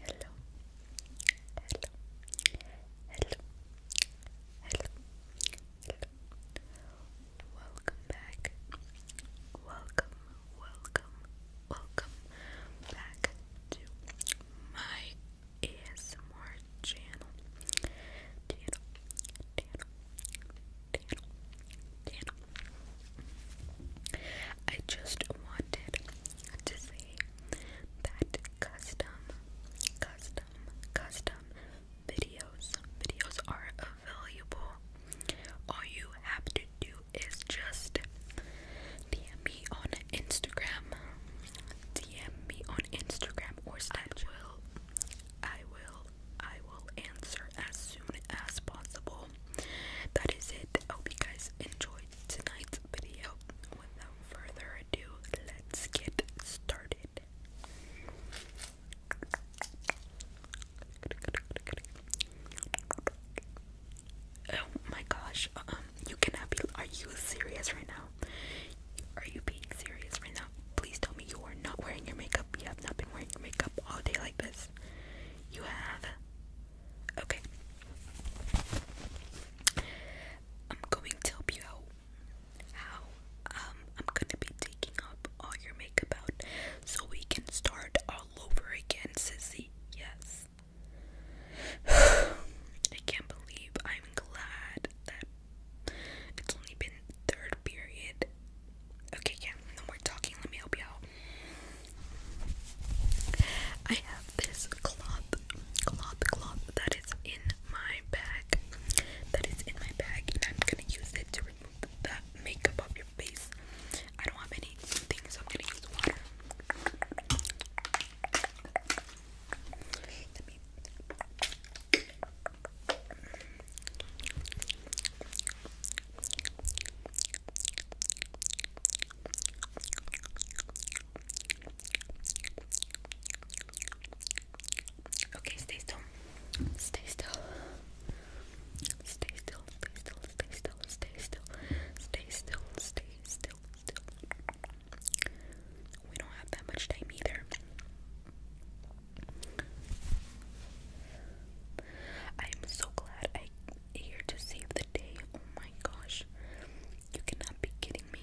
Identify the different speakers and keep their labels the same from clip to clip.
Speaker 1: Hello. Hello. Hello. Hello. Welcome back. Welcome. Welcome. Welcome back to my ASMR channel. Channel. Channel. Channel. Channel. I just wanted to say that custom, custom, custom videos, videos are available. All you have to do is just DM me on Instagram, DM me on Instagram or Snapchat. I will, I will, I will answer as soon as possible that is it. I hope you guys enjoyed tonight's video. Without further ado, let's get started. Oh my gosh, um, you cannot be. Are you serious right now? Are you being serious right now? Please tell me you are not wearing your makeup. You have not been wearing makeup all day like this. You have? Okay. I'm going to help you out. How? Um, I'm gonna be taking up all your makeup out so we can start all over again, sissy. Yes. I can't believe I'm glad that it's only been third period. Okay, yeah, no more talking. Let me help you out. I have this cloth, cloth, cloth that is in my bag. That is in my bag, and I'm gonna use it to remove the makeup off your face. I don't have any things, so I'm gonna use water. Okay, stay still. Stay still. Stay still, stay still, stay still, stay still, stay still, stay still, still. We don't have that much time either. I am so glad I am here to save the day. Oh my gosh. You cannot be kidding me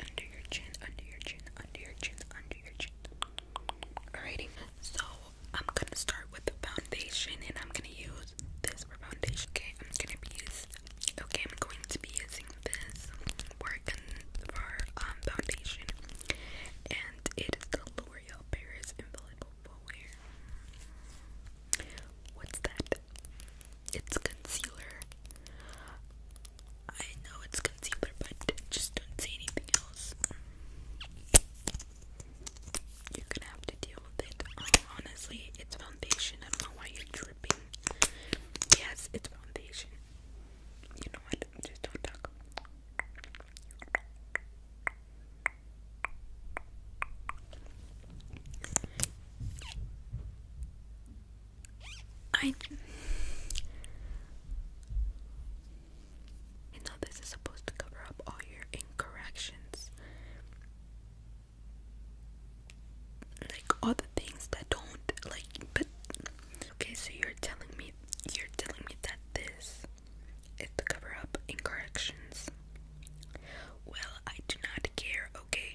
Speaker 1: under your chin, under your chin, under your chin, under your chin. Alrighty, so I'm gonna start with the foundation and I'm gonna use this for foundation. Okay, I'm gonna be using okay, I'm going to be using this for um foundation and it is the L'Oreal Paris Infallible Full Wear. What's that? It's concealer. I know it's concealer, but just don't say anything else. You're gonna have to deal with it. honestly, it's foundation. I don't know why you're dripping. Yes, it's foundation. You know what? Just don't talk. I you know this is supposed to cover up all your incorrections. Like all the things that don't like but okay, so you're telling me you're telling me that this is to cover up incorrections. Well, I do not care, okay?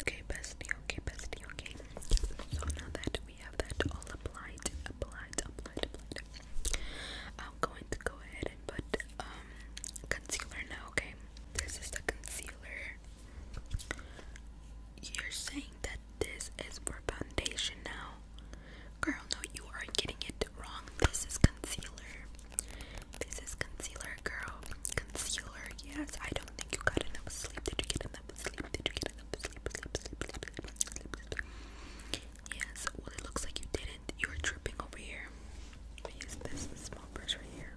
Speaker 1: Okay, bestie, okay, bestie, okay. So now that we have that all applied, applied, applied, applied, I'm going to go ahead and put um concealer now, okay? This is the concealer you're saying that this is for foundation now? Girl, no, you are getting it wrong. This is concealer. This is concealer, girl. Concealer, yes. I don't think you got enough sleep. Did you get enough sleep? Did you get enough sleep? Sleep, sleep, sleep, sleep, sleep, Yes, well, it looks like you didn't. You're dripping over here. use this small brush right here.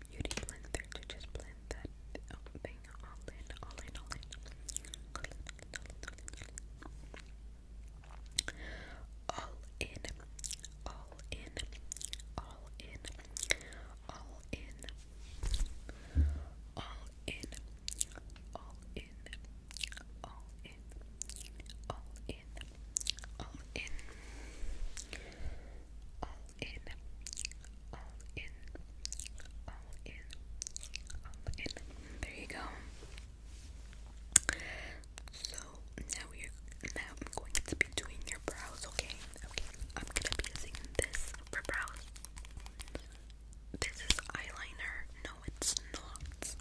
Speaker 1: beauty blender to just blend that thing all in. All in, all in, all in, all in, all in, all in, all in, all in, all in, all in all in, all in, all in, all in. There you go. So now we are now I'm going to be doing your brows, okay? Okay, I'm gonna be using this for brows. This is eyeliner. No, it's not.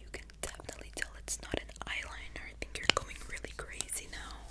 Speaker 1: You can definitely tell it's not an eyeliner. I think you're going really crazy now.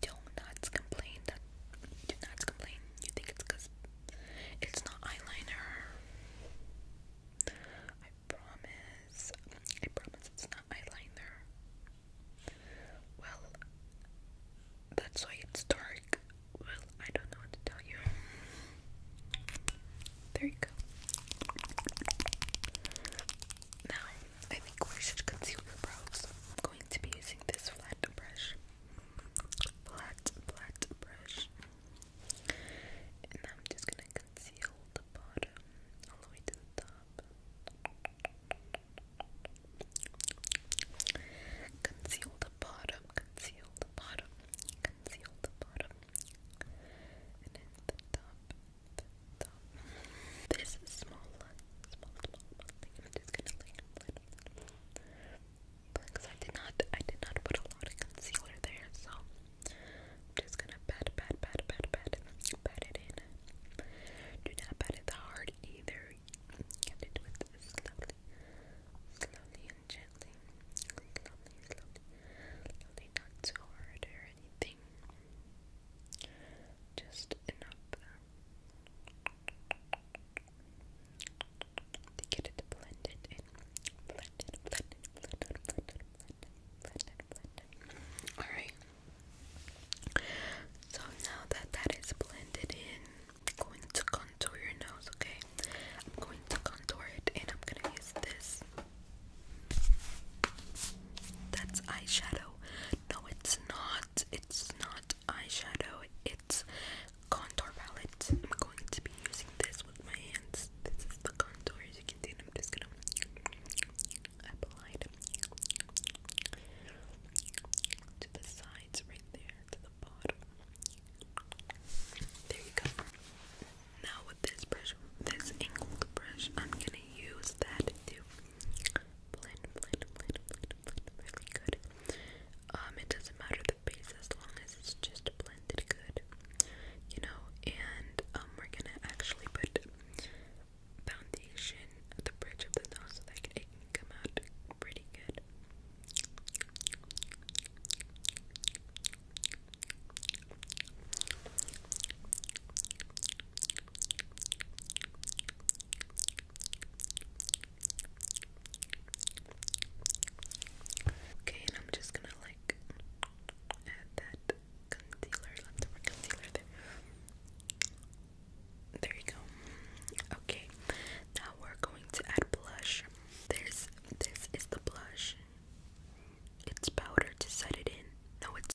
Speaker 1: Don't not complain that do complain. You think it's it's not eyeliner. I promise. I promise it's not eyeliner. Well that's why it's dark. Well, I don't know what to tell you. There you go. Now, I think we should conceal your brows. going to be using this flat brush. Flat, flat brush. And I'm just gonna conceal the bottom all the way to the top. Conceal the bottom, conceal the bottom, conceal the bottom. And then the top. This small, small, small, small thing. I'm just gonna like because I did not, I did not put a lot of concealer there, so I'm just gonna pat, pat, pat, pat, pat, pat it in. Do not pat it hard either. You have to slowly, slowly and gently, slowly, slowly, slowly, not too hard or anything. Just enough to get it blended in. Blended, blended, blended, blended, blended, blended, blended. Alright. So now that that is blended in, I'm going to contour your nose, okay? I'm going to contour it and I'm going to use this that's eyeshadow. No, it's not. It's not eyeshadow. It's contour palette. I'm going to be using this with my hands. This is the contour, as you can see. I'm just gonna apply it to the sides, right there, to the bottom. There you go. Now with this brush, this angled brush, I'm gonna use that to blend, blend, blend, blend, really good. Um, it doesn't matter the base as long as it's just blended good, you know. And um, we're gonna actually put foundation at the bridge of the nose so that it can come out pretty good. Okay, and I'm just gonna like add that concealer, leftover concealer there. There you go. Okay, now we're going to add blush. There's this is the blush. It's powder to set it in. No, it's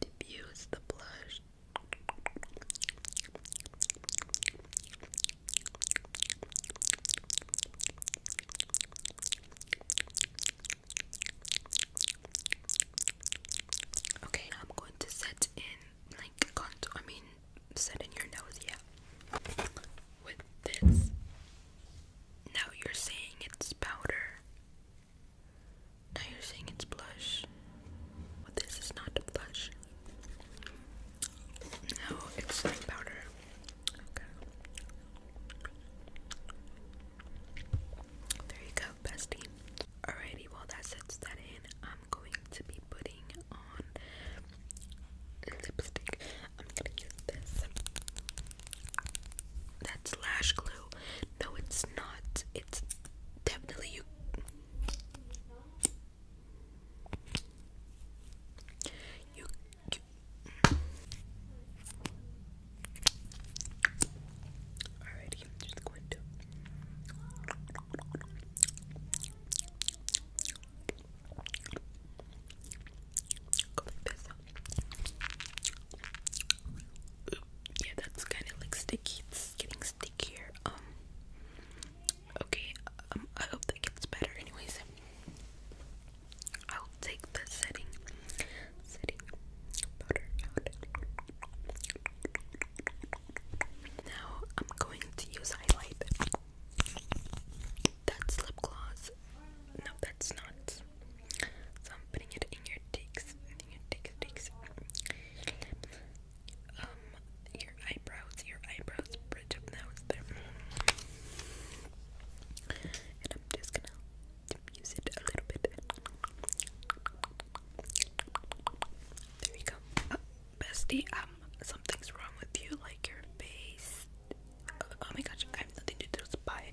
Speaker 1: diffuse the blush. Okay, I'm going to set in like contour. I mean, set in your nose, yeah. With this. Now you're saying it's powder. Now you're saying it's blush. but this is not blush. No, it's powder. Okay. There you go, bestie. Alrighty, well that sets that in. I'm going to be putting on lipstick. I'm gonna use this that's lash glue. No, it's not. It's definitely you. You. Alrighty, just going to yeah, that's kind of like sticky. It's getting stickier. Um, okay. Um, I hope that gets better. Anyways, I'll take the setting, setting powder out. Now I'm going to use highlight. That's lip gloss. No, that's not putting it in your cheeks, your cheeks, cheeks. Um, your eyebrows, your eyebrows, bridge of nose And I'm just gonna diffuse it a little bit. There you go. Uh, bestie, um, something's wrong with you, like your face. Oh, oh my gosh, I have nothing to do with spy.